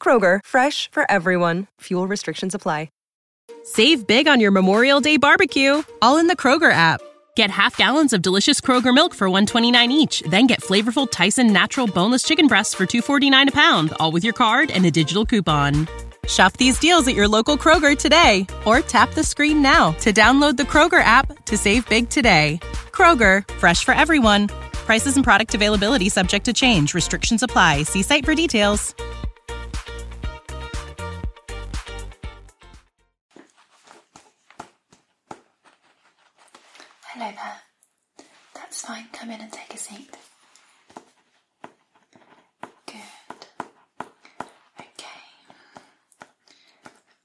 Kroger, fresh for everyone. Fuel restrictions apply. Save big on your Memorial Day barbecue, all in the Kroger app. Get half gallons of delicious Kroger milk for 129 each, then get flavorful Tyson natural boneless chicken breasts for 249 a pound, all with your card and a digital coupon. Shop these deals at your local Kroger today or tap the screen now to download the Kroger app to save big today. Kroger, fresh for everyone. Prices and product availability subject to change. Restrictions apply. See site for details. Hello there. That's fine. Come in and take a seat. Good. Okay.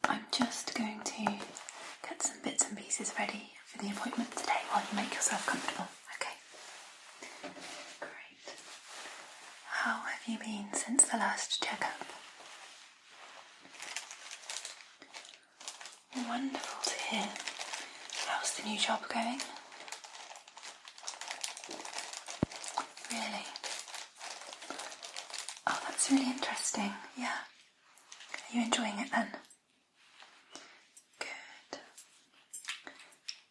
I'm just going to get some bits and pieces ready for the appointment today while you make yourself comfortable. Okay. Great. How have you been since the last checkup? Wonderful to hear. How's the new job going? Really? Oh, that's really interesting. Yeah. Are you enjoying it then? Good.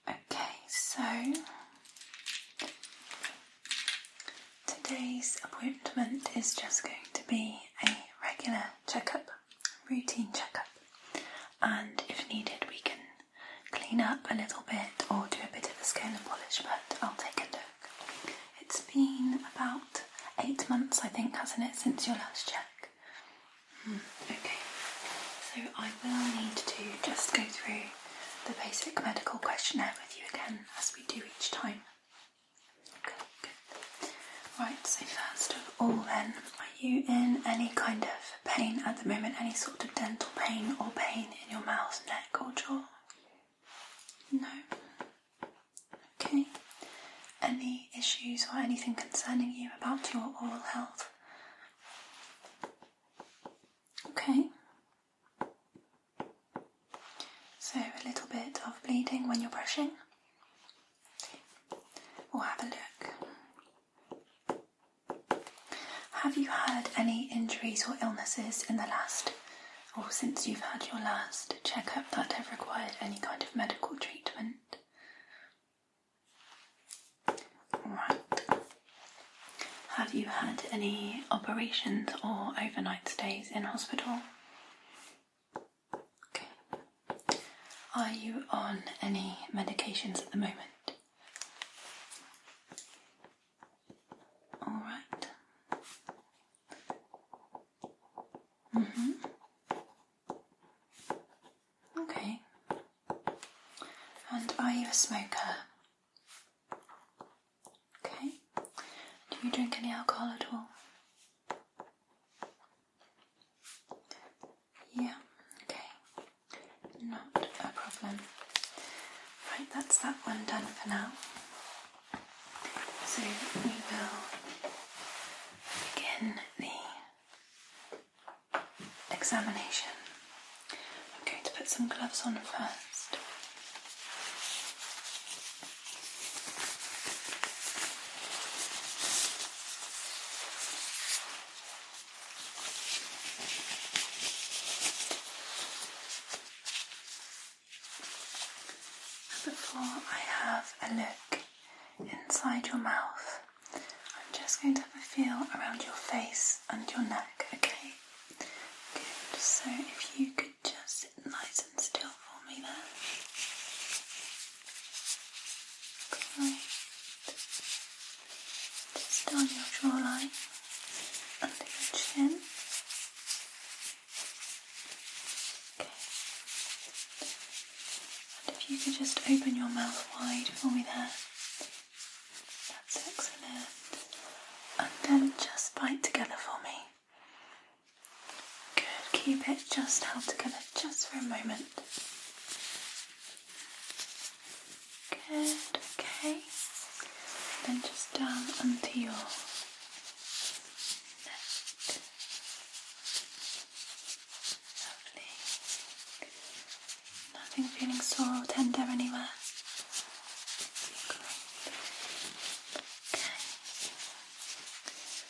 Okay, so today's appointment is just going to be a regular checkup, routine checkup, and if needed, we can clean up a little bit or do a bit of a scale and polish, but I'll take a look. It's been about eight months, I think, hasn't it, since your last check? Hmm, okay, so I will need to just go through the basic medical questionnaire with you again as we do each time. Okay, good. Right, so first of all, then, are you in any kind of pain at the moment? Any sort of dental pain or pain in your mouth, neck, or jaw? No. Okay. Any issues or anything concerning you about your oral health? Okay. So a little bit of bleeding when you're brushing. We'll have a look. Have you had any injuries or illnesses in the last or since you've had your last checkup that have required any kind of medical treatment? Have you had any operations or overnight stays in hospital? Are you on any medications at the moment? All right. Mhm. Okay. And are you a smoker? Okay. Do you drink any alcohol at all? Yeah, okay. Not a problem. Right, that's that one done for now. So we will begin the examination. I'm going to put some gloves on first. Before I have a look inside your mouth. I'm just going to have a feel around your face and your neck, okay? Good, so if you could just sit nice and still for me there. Great. Just on your jawline, under your chin. And if you could just open your mouth wide for me there. That's excellent. And then just bite together for me. Good. Keep it just held together just for a moment. Good. Okay. Then just down onto your neck. Nothing feeling sore or tender anywhere. Okay.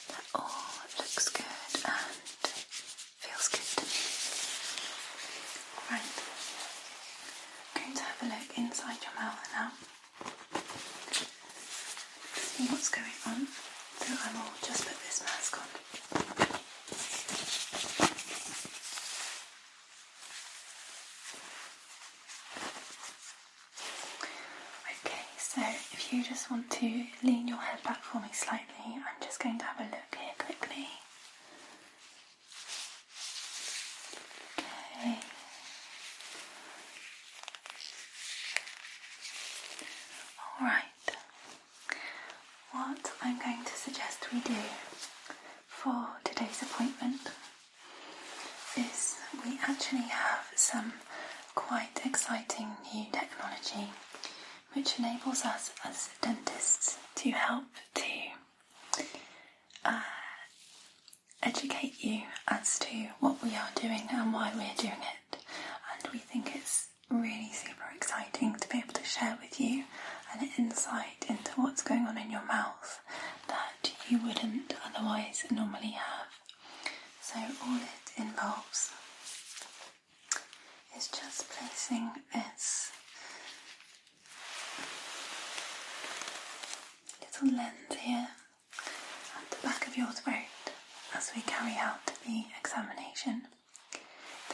That all looks good and feels good Right. I'm going to have a look inside your mouth now see what's going on. So I am will just put this mask on. Okay, so if you just want to lean your head back for me slightly, I'm just going to have a look here quickly. Okay, Alright, what I'm going to suggest we do for today's appointment is we actually have some quite exciting new technology which enables us as dentists to help to uh, educate you as to what we are doing and why we're doing it. And we think it's really super exciting to be able to share with you an insight into what's going on in your mouth that you wouldn't otherwise normally have. So, all it involves is just placing this little lens here at the back of your throat as we carry out the examination.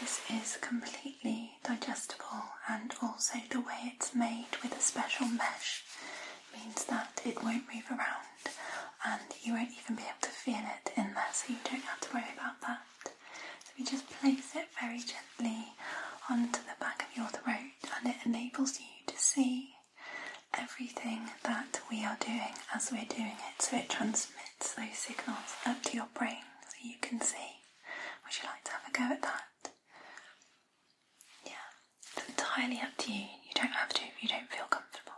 This is completely digestible, and also the way it's made with a special mesh means that it won't move around and you won't even be able to feel it in there, so you don't have to worry about that. So we just place it very gently onto the back of your throat, and it enables you to see everything that we are doing as we're doing it, so it transmits those signals up to your brain so you can see. Would you like to have a go at that? Yeah, it's entirely up to you. You don't have to if you don't feel comfortable.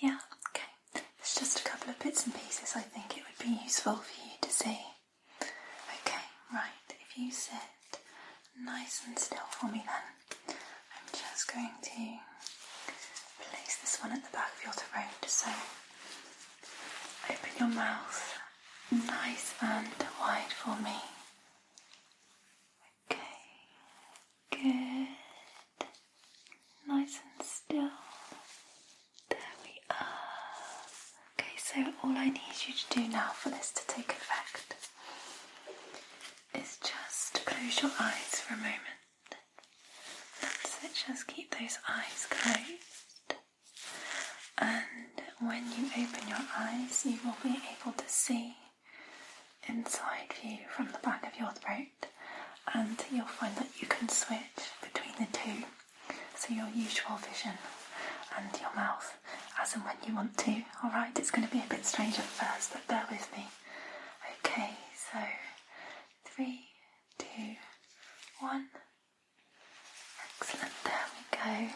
Yeah, okay. It's just a couple of bits and pieces I think it would be useful for you to see. Okay, right, if you said nice and still for me then. I'm just going to place this one at the back of your throat. So open your mouth nice and wide for me. Okay, good. Nice and still. There we are. Okay, so all I need you to do now for this to take effect is just close your eyes for a moment. That's it, just keep those eyes closed. And when you open your eyes, you will be able to see inside view from the back of your throat, and you'll find that you can switch between the two. So, your usual vision and your mouth as and when you want to. Alright, it's going to be a bit strange at first, but bear with me. Okay, so three, two, one. Excellent, there we go.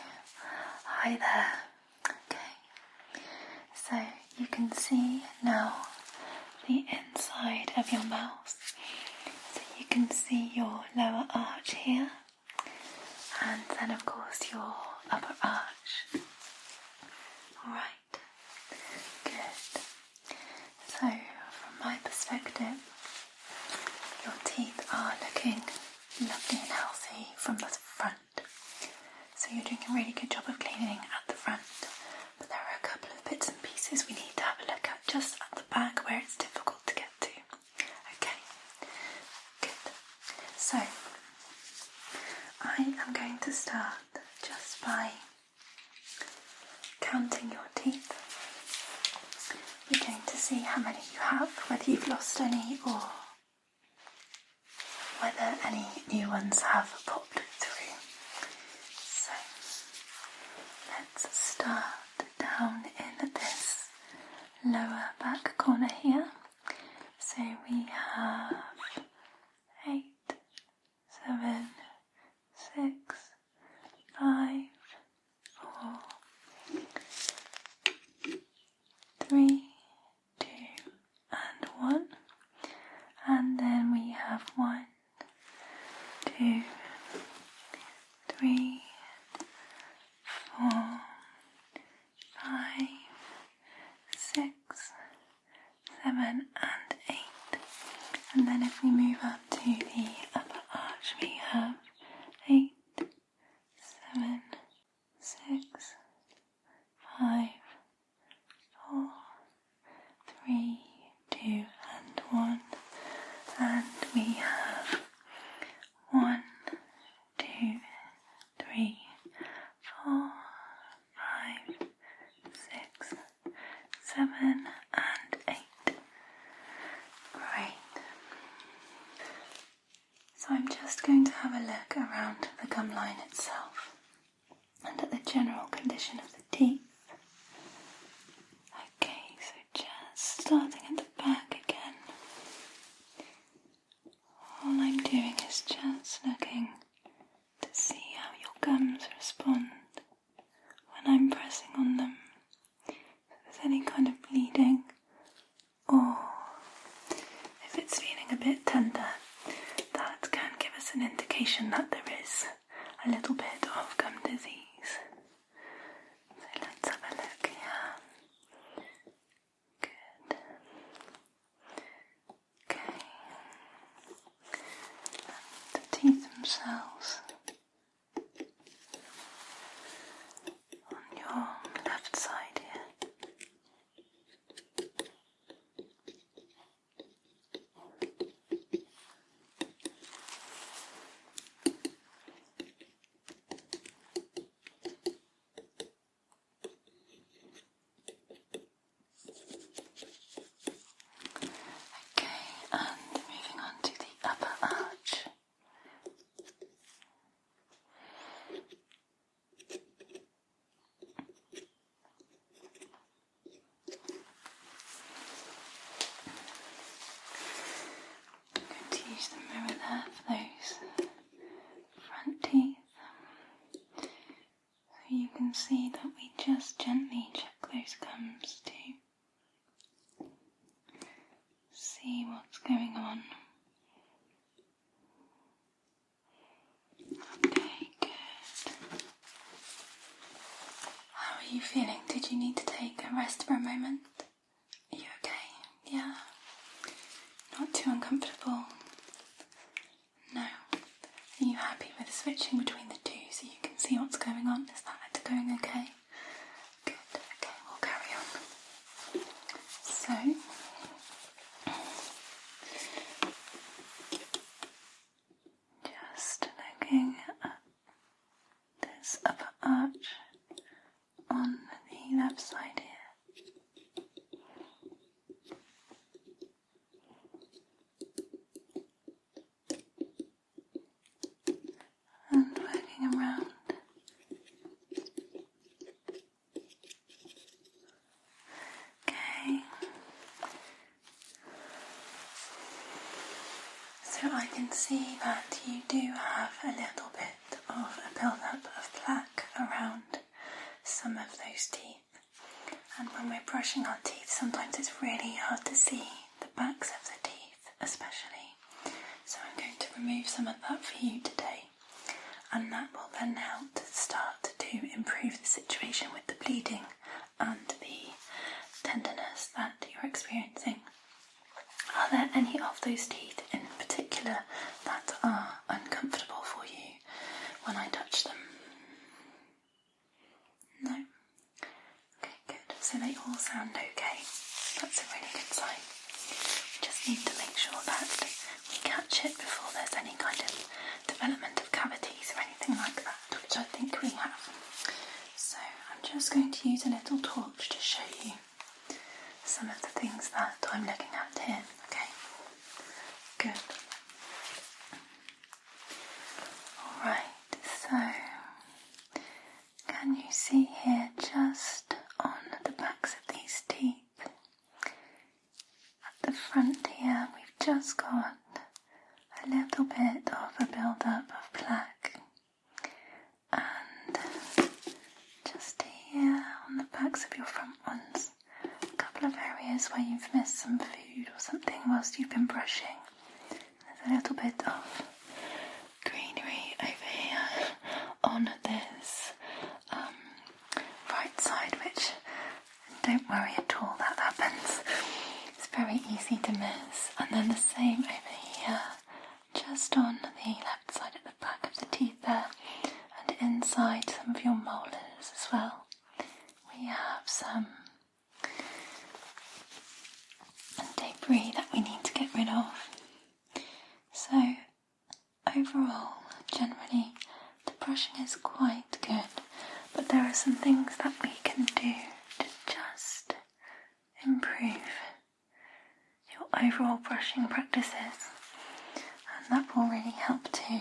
Hi there. Okay, so you can see now the inside of your mouth. So you can see your lower arch here, and then, of course, your upper arch. Alright, good. So, from my perspective, your teeth are looking lovely and healthy from the front. So, you're doing a really good job of cleaning at the front, but there are a couple of bits and pieces we need to have a look at just at the back where it's difficult to get to. Okay, good. So, I am going to start just by counting your teeth. We're going to see how many you have, whether you've lost any or whether any new ones have popped through. So let's start down in this lower back corner here. So we have eight, seven, six, five, four, three, two, and one. And then we have one, two, three, four, five, six, seven and eight. And then if we move up to the upper arch, we have eight, seven, six, five, four, three, two, and one. And we have one, two, three, four, five, six, seven, and eight. Great. So I'm just going to have a look around the gum line itself and at the general condition of the teeth. Okay, so just starting at the back again. All I'm doing is just looking to see how your gums respond when I'm pressing on them. If there's any kind of bleeding or if it's feeling a bit tender, that can give us an indication that there is a little bit of gum disease. So let's have a look here. Good. Okay. the teeth themselves on your left side here. Okay, and moving on to the upper arch. going to use the mirror there for those front teeth. You can see that we just gently check those gums to see what's going on. Okay, good. How are you feeling? Did you need to take a rest for a moment? Are you okay? Yeah? Not too uncomfortable? No. Are you happy with switching between the two so you can see what's going on? Is that going okay? Good, okay, we'll carry on. So, just looking at this upper arch on the left side here and waiting around. Okay. So I can see that you do have a little bit of a buildup of plaque around some of those teeth. And when we're brushing our teeth, sometimes it's really hard to see the backs of the teeth, especially. So I'm going to remove some of that for you today, and that will then help to start to improve the situation with the bleeding and the tenderness that you're experiencing. Are there any of those teeth in particular that are uncomfortable for you? when I touch them? No? Okay, good. So they all sound okay. That's a really good sign. We just need to make sure that we catch it before there's any kind of development of cavities or anything like that, which I think we have. So I'm just going to use a little torch to show you some of the things that I'm looking at here, okay? Good. Alright, so can you see here just on the backs of these teeth? At the front here, we've just got a little bit of a build up of plaque, and just here on the backs of your front ones a couple of areas where you've missed some food or something whilst you've been brushing. There's a little bit of greenery over here on this um, right side, which don't worry at all, that happens. It's very easy to miss. And then the same over here, just on the left side at the back of the teeth there, and inside some of your molars as well. We have some debris that we need to get rid of. So, overall, generally, the brushing is quite good, but there are some things that we can do to just improve your overall brushing practices, and that will really help too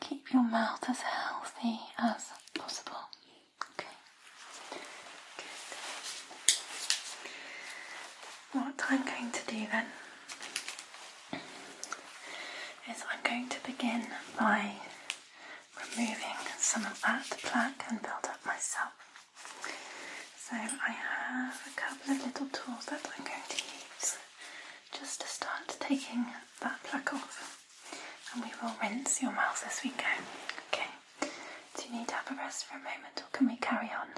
keep your mouth as healthy as possible. Okay. What I'm going to do then is I'm going to begin by removing some of that plaque and build up myself. So I have a couple of little tools that I'm going to use just to start taking that plaque off. And we will rinse your mouth as we go. Okay. Do you need to have a rest for a moment or can we carry on?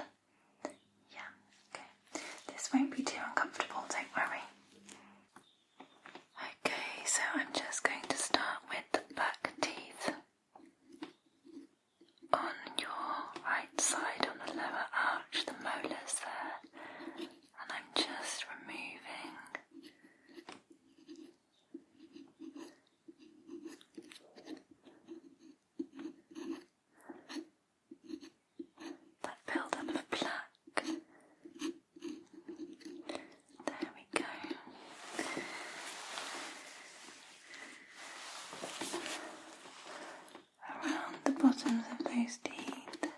Yeah, okay. This won't be too uncomfortable, don't worry. Okay, so I'm just going to start with the back teeth on your right side on the lower arch, the molars there and I'm just removing that build-up of plaque. There we go around the bottoms of those teeth. Good.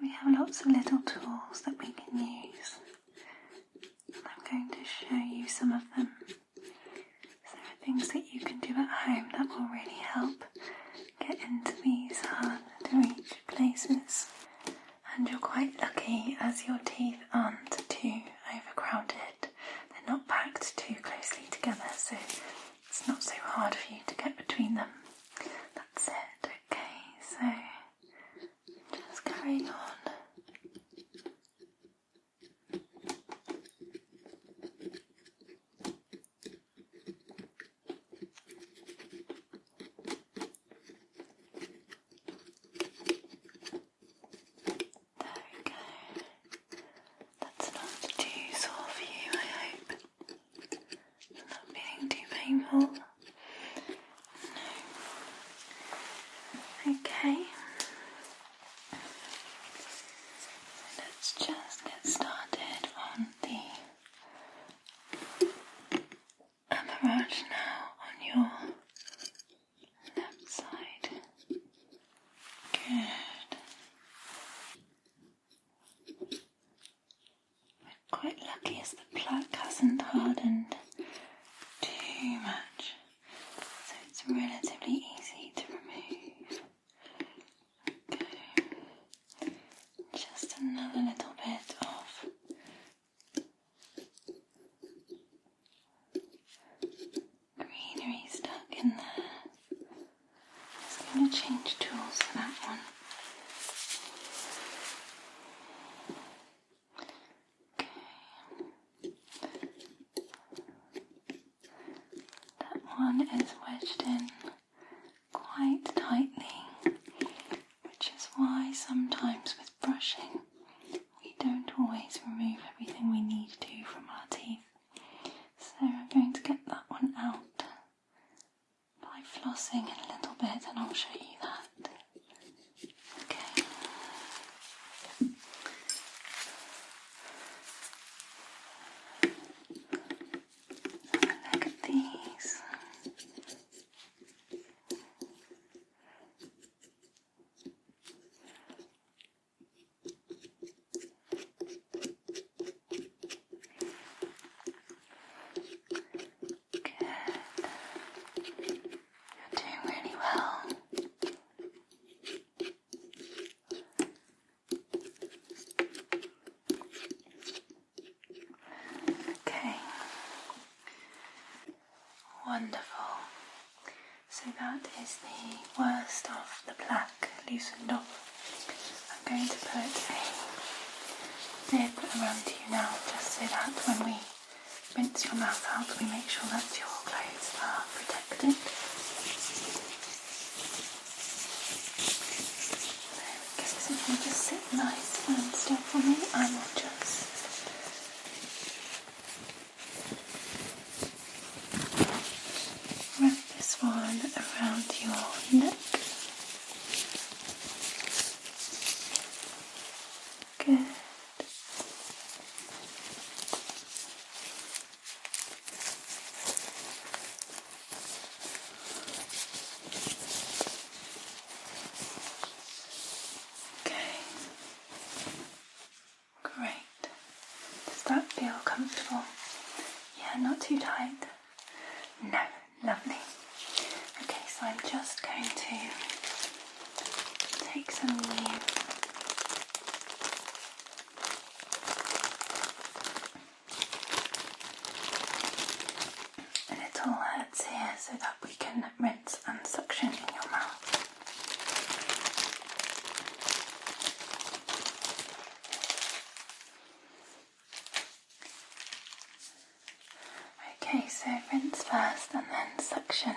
We have lots of little tools that we can use, I'm going to show you some of them. So there are things that you can do at home that will really help get into these hard to reach places. And you're quite lucky as your teeth aren't too overcrowded. They're not packed too closely together, so it's not so hard for you to get between them. That's it, okay, so just carrying on. There we go. That's not too sore for you, I hope. not feeling too painful. No. Okay. Let's just get started on the amarage now on your left side. Good. quite lucky as the plug hasn't hardened too much so it's relatively easy to remove. just another little bit of. Greenery stuck in there. Just going to change tools for that one. That one is wedged in quite tightly, which is why sometimes with brushing we don't always remove everything we need to from our teeth. So I'm going to get that one out by flossing in a little bit, and I'll show you that. Okay. Look at these. Good. You're doing really well. Okay. Wonderful. So that is the worst of the plaque loosened off. I'm going to put a nib around you now just so that when we rinse your mouth out. We make sure that your clothes are protected. There if you just sit nice and still for me, I will just wrap this one around your neck. Good. Okay. Great. Does that feel comfortable? Yeah, not too tight. No, lovely. Okay, so I'm just going to Take some leave. A little hurts here so that we can rinse and suction in your mouth. Okay, so rinse first and then suction.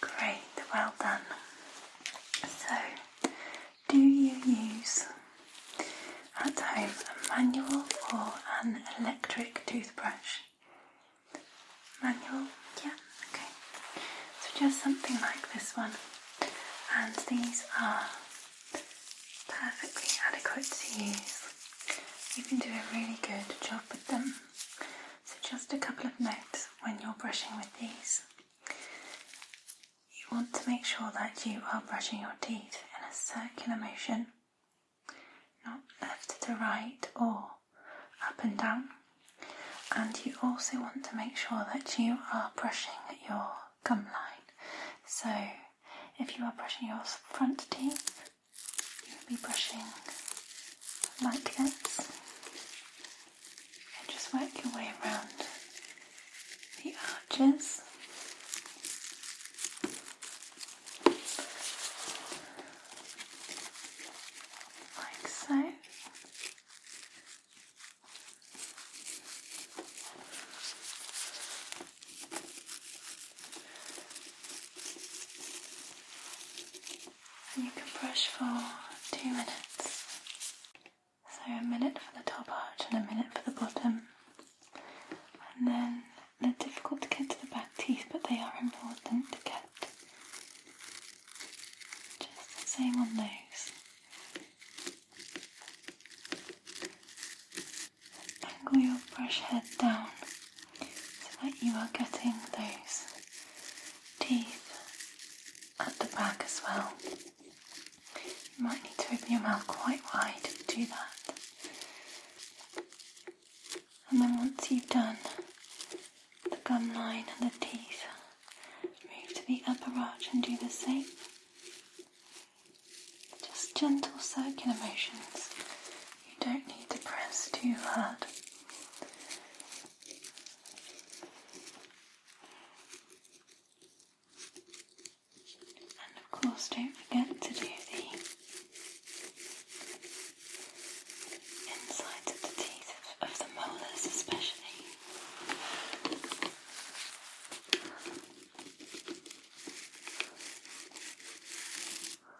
Great, well done. So, do you use at home a manual or an electric toothbrush? Manual, yeah, okay. So, just something like this one, and these are perfectly adequate to use you can do a really good job with them. So, just a couple of notes when you're brushing with these. You want to make sure that you are brushing your teeth in a circular motion, not left to right or up and down. And you also want to make sure that you are brushing your gum line. So, if you are brushing your front teeth, You'll be brushing like this and just work your way around the arches. Like so you can brush for two minutes. So a minute for the top arch and a minute for the bottom. And then they're difficult to get to the back teeth, but they are important to get. Just the same on those angle your brush head down so that you are getting those teeth at the back as well. You might need to open your mouth quite wide to do that. And then once you've done the gum line and the teeth, move to the upper arch and do the same. Just gentle circular motions you don't need to press too hard. And of course, don't forget to do the insides of the teeth, of the molars especially.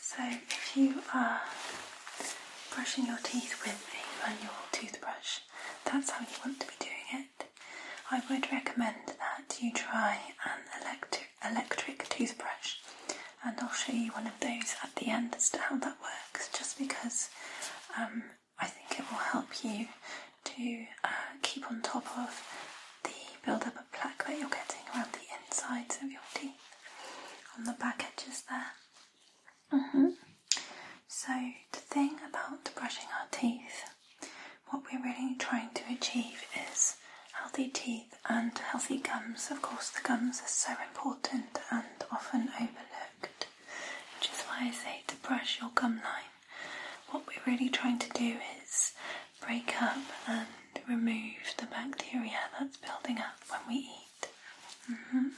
So if you are brushing your teeth with a manual toothbrush, that's how you want to be doing it. I would recommend that you try an electric toothbrush, and I'll show you one of those at the end as to how that works. Just because um, I think it will help you to uh, keep on top of the build up of plaque that you're getting around the insides of your teeth on the back edges there. Mm-hmm. So, the thing about brushing our teeth, what we're really trying to achieve is healthy teeth and healthy gums. Of course, the gums are so important and often overlooked, which is why I say to brush your gum line. What we're really trying to do is break up and remove the bacteria that's building up when we eat. Mm-hmm.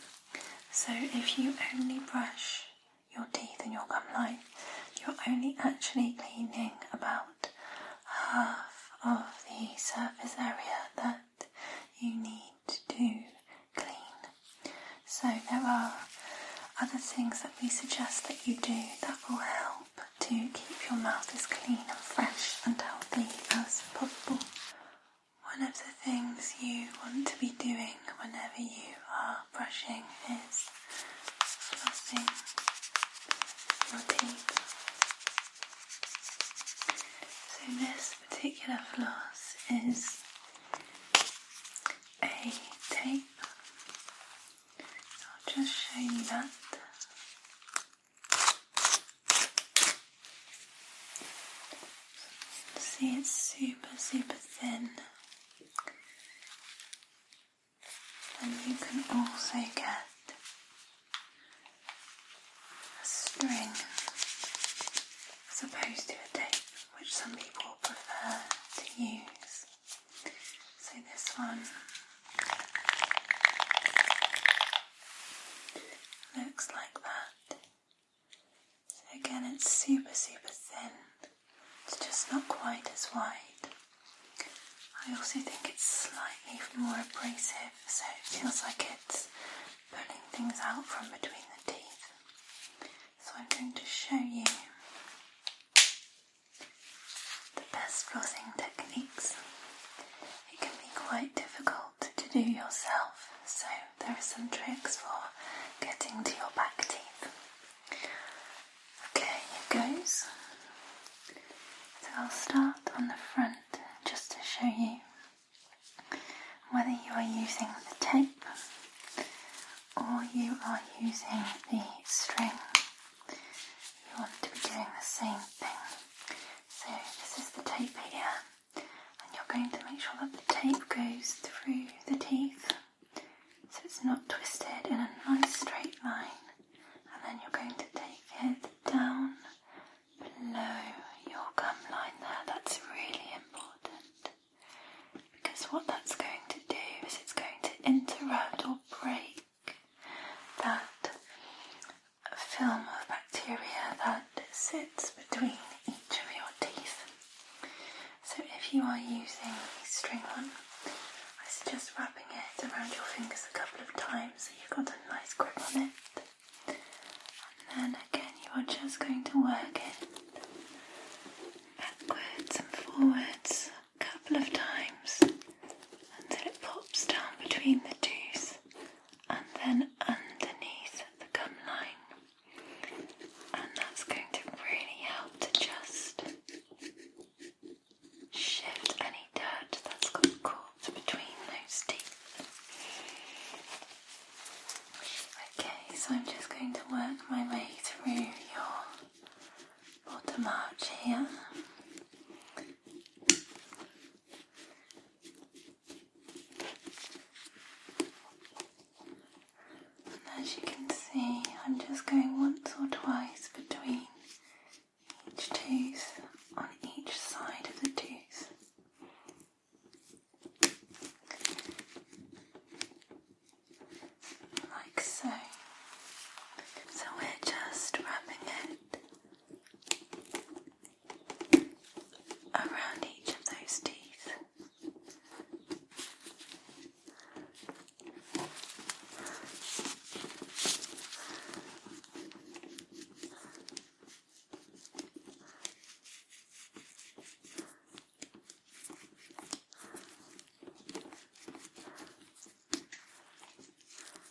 So if you only brush your teeth and your gum line, you're only actually cleaning about half of the surface area that you need to clean. So there are other things that we suggest that you do that will help to keep your mouth as clean and fresh and healthy as possible. One of the things you want to be doing whenever you are brushing is flossing your teeth. So, this particular floss is a tape. I'll just show you that. See, it's super, super thin. And you can also get a string as opposed to a tape, which some people prefer to use. So, this one Looks like that. So again, it's super, super thin. It's just not quite as wide. I also think it's slightly more abrasive, so it feels like it's pulling things out from between the teeth. So I'm going to show you the best flossing techniques it can be quite difficult to do yourself, so there are some tricks for getting to your back teeth. Okay, here goes. So I'll start on the front just to show you whether you are using the tape or you are using the string. You want to be doing the same thing. So this is the tape here, and you're going to make sure that the tape goes through the teeth so it's not twisted in a nice straight line, and then you're going to take it down below your gum line there. That's really important because what that's going to do is it's going to interrupt or break that film of bacteria that sits between each of your teeth. So if you are using a string one, I suggest wrapping it around your fingers a couple of times so you've got a nice grip on it. And then again, you are just going to work it backwards and forwards a couple of times until it pops down between the teeth and then underneath the gum line, and that's going to really help to just shift any dirt that's got caught between those teeth. Okay, so I'm just going to work my way through your bottom arch here as you can see, I'm just going once or twice between each tooth on each side of the tooth. Like so. So we're just wrapping it around each of those teeth.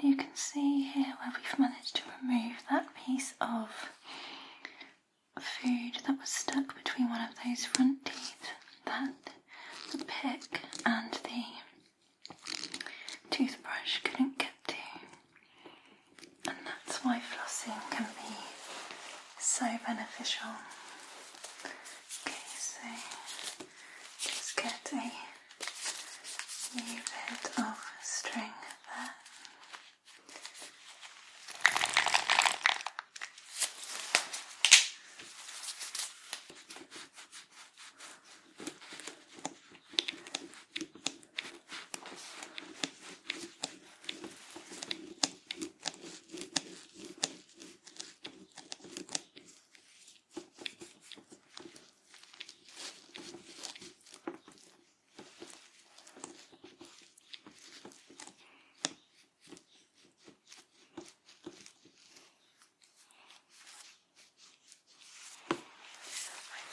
and you can see here where we've managed to remove that piece of food that was stuck between one of those front teeth that the pick and the toothbrush couldn't get to. And that's why flossing can be so beneficial. Okay, so just get a bit of string there.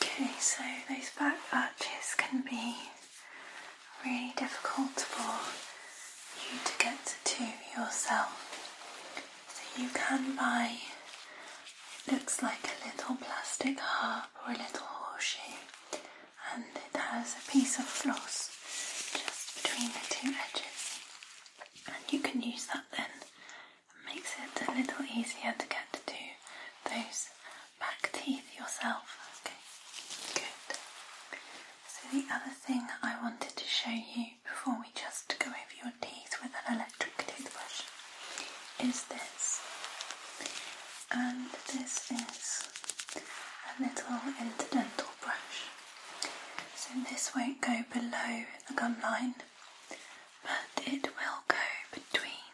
Okay, so those back arches can be really difficult for you to get to yourself. So you can buy, it looks like a little plastic harp or a little horseshoe, and it has a piece of floss just between the two edges, and you can use that then. It makes it a little easier to get to those back teeth yourself. Okay, good. So the other thing I wanted to show you before we just go over your teeth with an electric toothbrush is this. And this is a little interdental brush. So this won't go below the gum line, but it will go between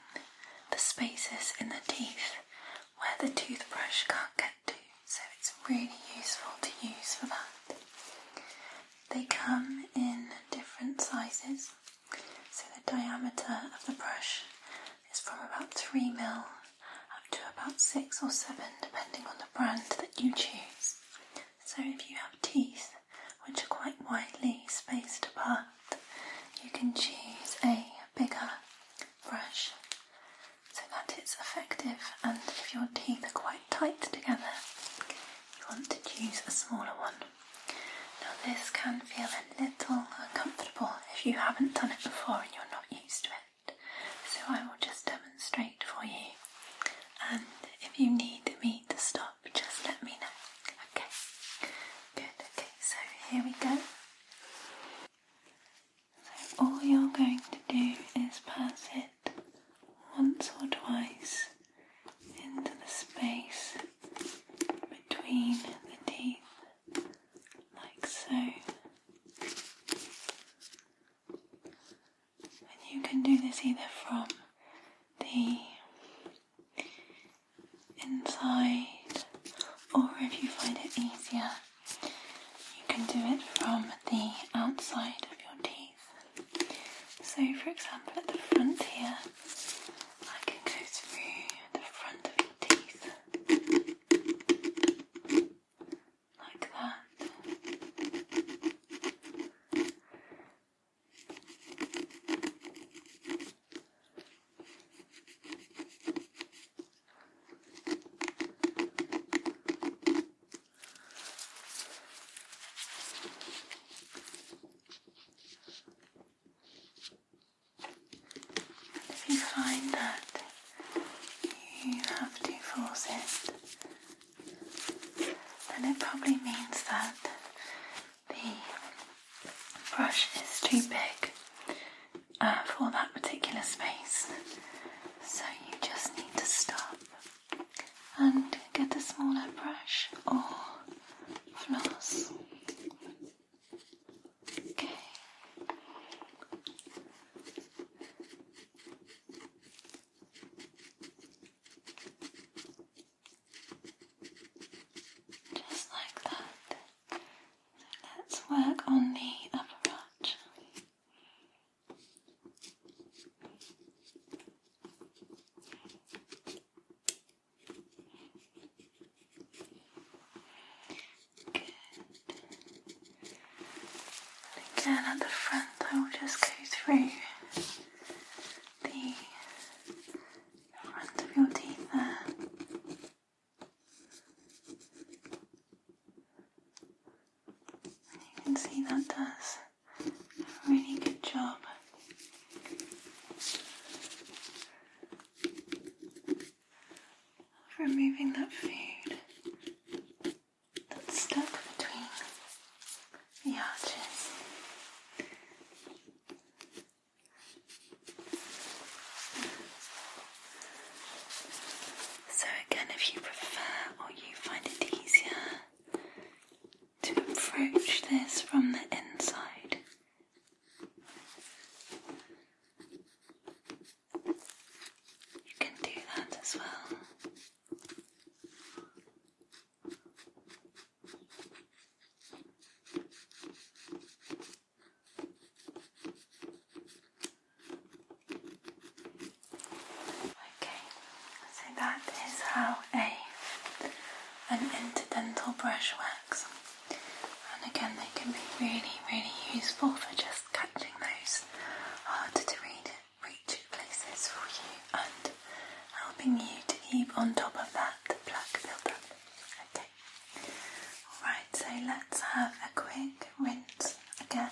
the spaces in the teeth where the toothbrush can't get to so it's really useful to use for that. They come in different sizes, so the diameter of the brush is from about 3mm up to about 6 or 7 depending on the brand that you choose. So if you have teeth which are quite widely spaced apart, you can choose a bigger brush so that it's effective and if your teeth are quite tight together, you want to choose a smaller one. Now, this can feel a little uncomfortable if you haven't done it before and you're not used to it, so I will just demonstrate for you. And if you need me to stop, just let me know. Okay, good. Okay, so here we go. So, all you're going to do is pass it once or twice into the space between the teeth, like so. And you can do this either from the inside, or if you find it easier, you can do it from the outside of your teeth. So, for example, at the front here, I can go through the front of your teeth like that. And if you find that you have to force it, then it probably means that the brush is too big uh, for that particular space. So you just need to stop and get a smaller brush or floss. Okay. Just like that. So let's work on the upper arch. And again at the front, I will just go through the front of your teeth there. You can see that does a really good job. Of removing that food that's stuck between the arches. So, again, if you prefer or you find it easier to approach this from the inside. You can do that as well. Okay, so that is how a an interdental brush works. And again, they can be really, really useful for just catching those harder to read reach places for you and helping you to keep on top of that plaque buildup. Okay. Alright, so let's have a quick rinse again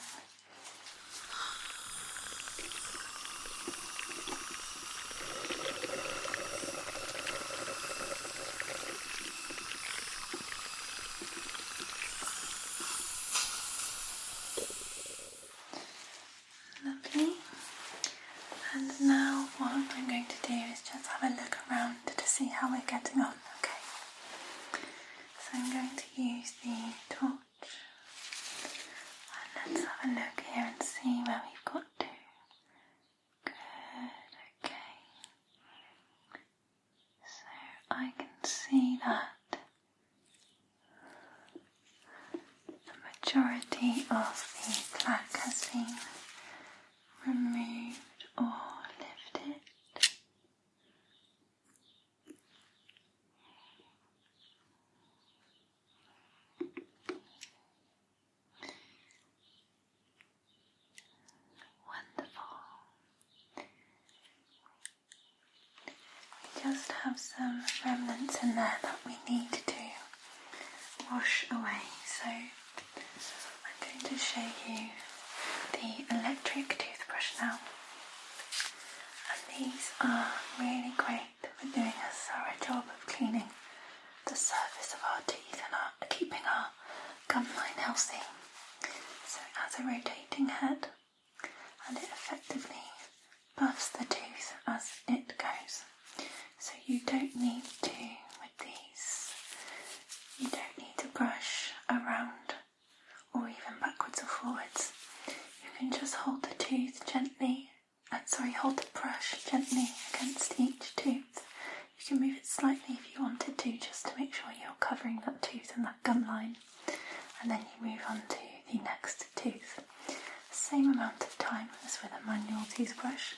Lovely. And now what I'm going to do is just have a look around to see how we're getting on, okay? So I'm going to use the torch let's have a look here and see where we've got to. Good, okay. So I can see that the majority of the black has been removed or lifted. Wonderful. just have some remnants in there that we need to wash away. So I'm going to show you the electric toothbrush now. And these are really great for doing a thorough job of cleaning the surface of our teeth and keeping our gum line healthy. So it has a rotating head and it effectively buffs the tooth as it goes. So you don't need to, with these, you don't need to brush around or even backwards or forwards. You can just hold the tooth gently, uh, sorry, hold the brush gently against each tooth. You can move it slightly if you wanted to, just to make sure you're covering that tooth and that gum line, and then you move on to the next tooth. Same amount of time as with a manual toothbrush.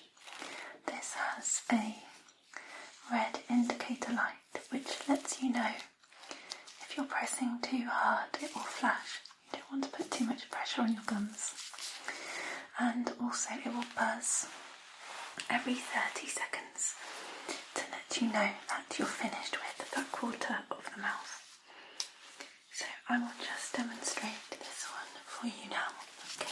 This has a red indicator light which lets you know if you're pressing too hard, it will flash. You don't want to put too much pressure on your gums. And also, it will buzz every 30 seconds to let you know that you're finished with that quarter of the mouth. So, I will just demonstrate this one for you now. Okay.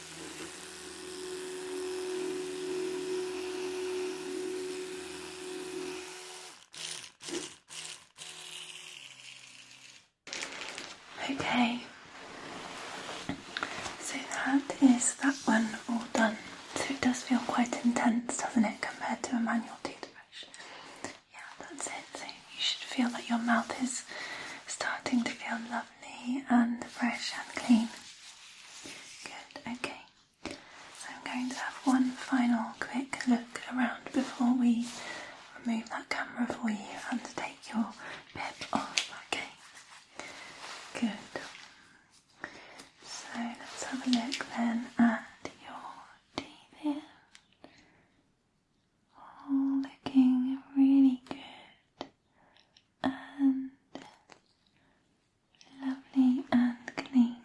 Okay, so that is that one all done. So it does feel quite intense, doesn't it, compared to a manual toothbrush? Yeah, that's it. So you should feel that your mouth is starting to feel lovely and fresh and clean. Good, okay. So I'm going to have one final quick look around before we remove that camera for you and take your bib off, okay? Good. So let's have a look then at your teeth All looking really good and lovely and clean.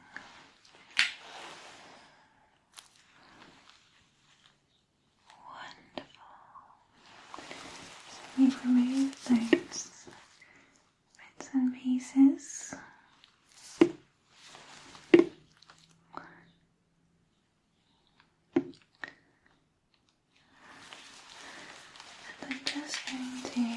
Wonderful. we've those bits and pieces. And I'm just going to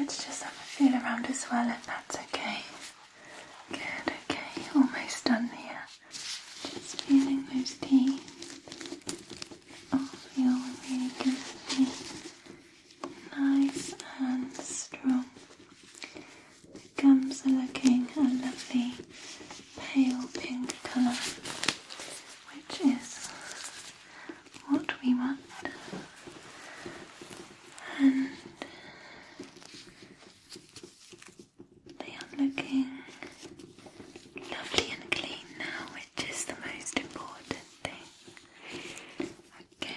Let's just have a feel around as well if that's okay. Good, okay, almost done here. Just feeling those teeth. All oh, feeling really good. Nice and strong. gums are looking a lovely pale pink colour, which is what we want they are looking lovely and clean now, which is the most important thing. Okay,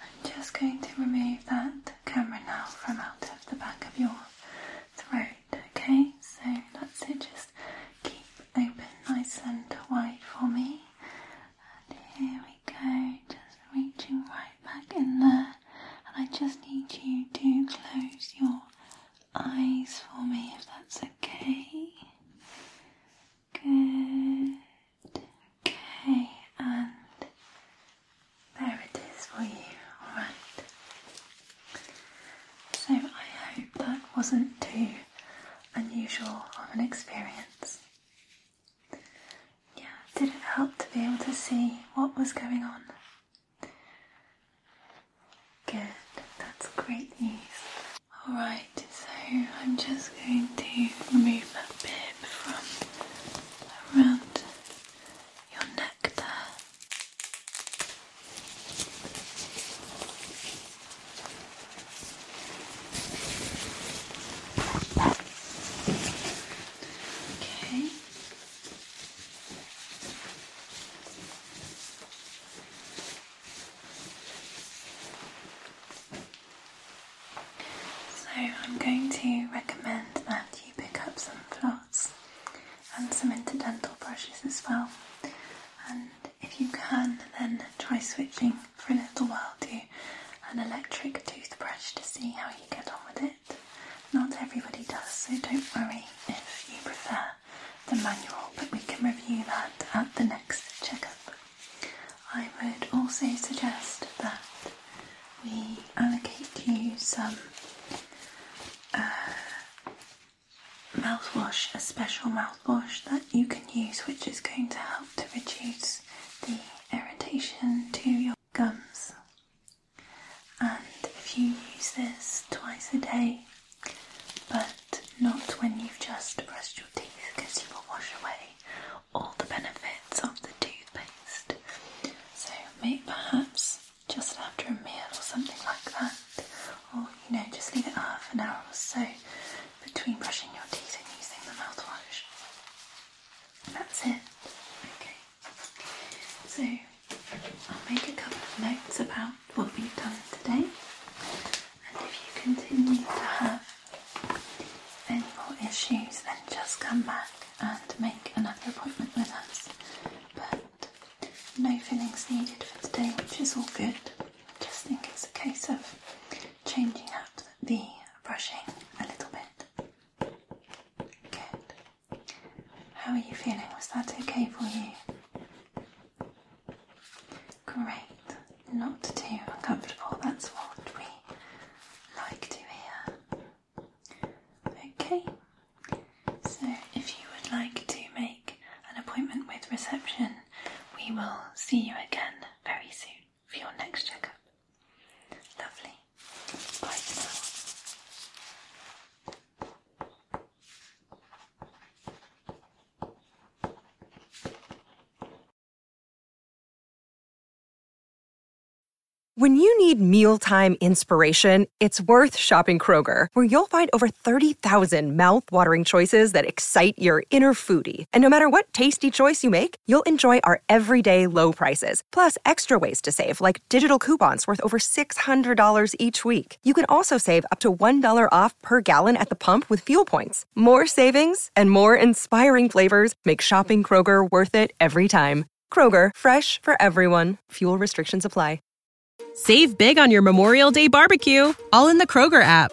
I'm just going to remove that camera now from out of the back of your throat. Okay, so that's it, just keep open nice and wide for me. And here we go, just reaching right back in there. And I just need you to close your eyes for me if that's okay. Good. Okay, and there it is for you. Alright. So I hope that wasn't too unusual of an experience. Yeah, did it help to be able to see what was going on? Good, that's great news. Alright, so I'm just going to remove that bit from around your neck there. Okay. So, I'm going to recommend that you pick up some floss and some interdental brushes as well, and if you can, then try switching for a little while to an electric toothbrush to see how you get on with it. Not everybody does, so don't worry if you prefer the manual, but we can review that at the next checkup. I would also suggest that we allocate you some uh, mouthwash, a special mouthwash that you can use which is going to help to reduce the irritation to your gums. And if you use this twice a day, but not when you've just brushed your teeth because you will wash away all the benefits of the toothpaste. So maybe perhaps just after a meal or something like that, or you know, just leave it half an hour or so between brushing your teeth and using the mouthwash. that's it. Okay. So I'll make a couple of notes about what we've done today. And if you continue to have any more issues, then just come back and make another appointment with us. But no fillings needed for today, which is all good. I just think it's a case of changing habits just be brushing a little bit. Good. How are you feeling? Was that okay for you? Great. Not too uncomfortable. That's what we like to hear. Okay. So, if you would like to make an appointment with reception, we will see you again very soon for your next checkup. Lovely. Bye When you need mealtime inspiration, it's worth shopping Kroger, where you'll find over 30,000 thousand mouth-watering choices that excite your inner foodie. And no matter what tasty choice you make, you'll enjoy our everyday low prices, plus extra ways to save, like digital coupons worth over $600 each week. You can also save up to $1 off per gallon at the pump with fuel points. More savings and more inspiring flavors make shopping Kroger worth it every time. Kroger, fresh for everyone. Fuel restrictions apply. Save big on your Memorial Day barbecue, all in the Kroger app.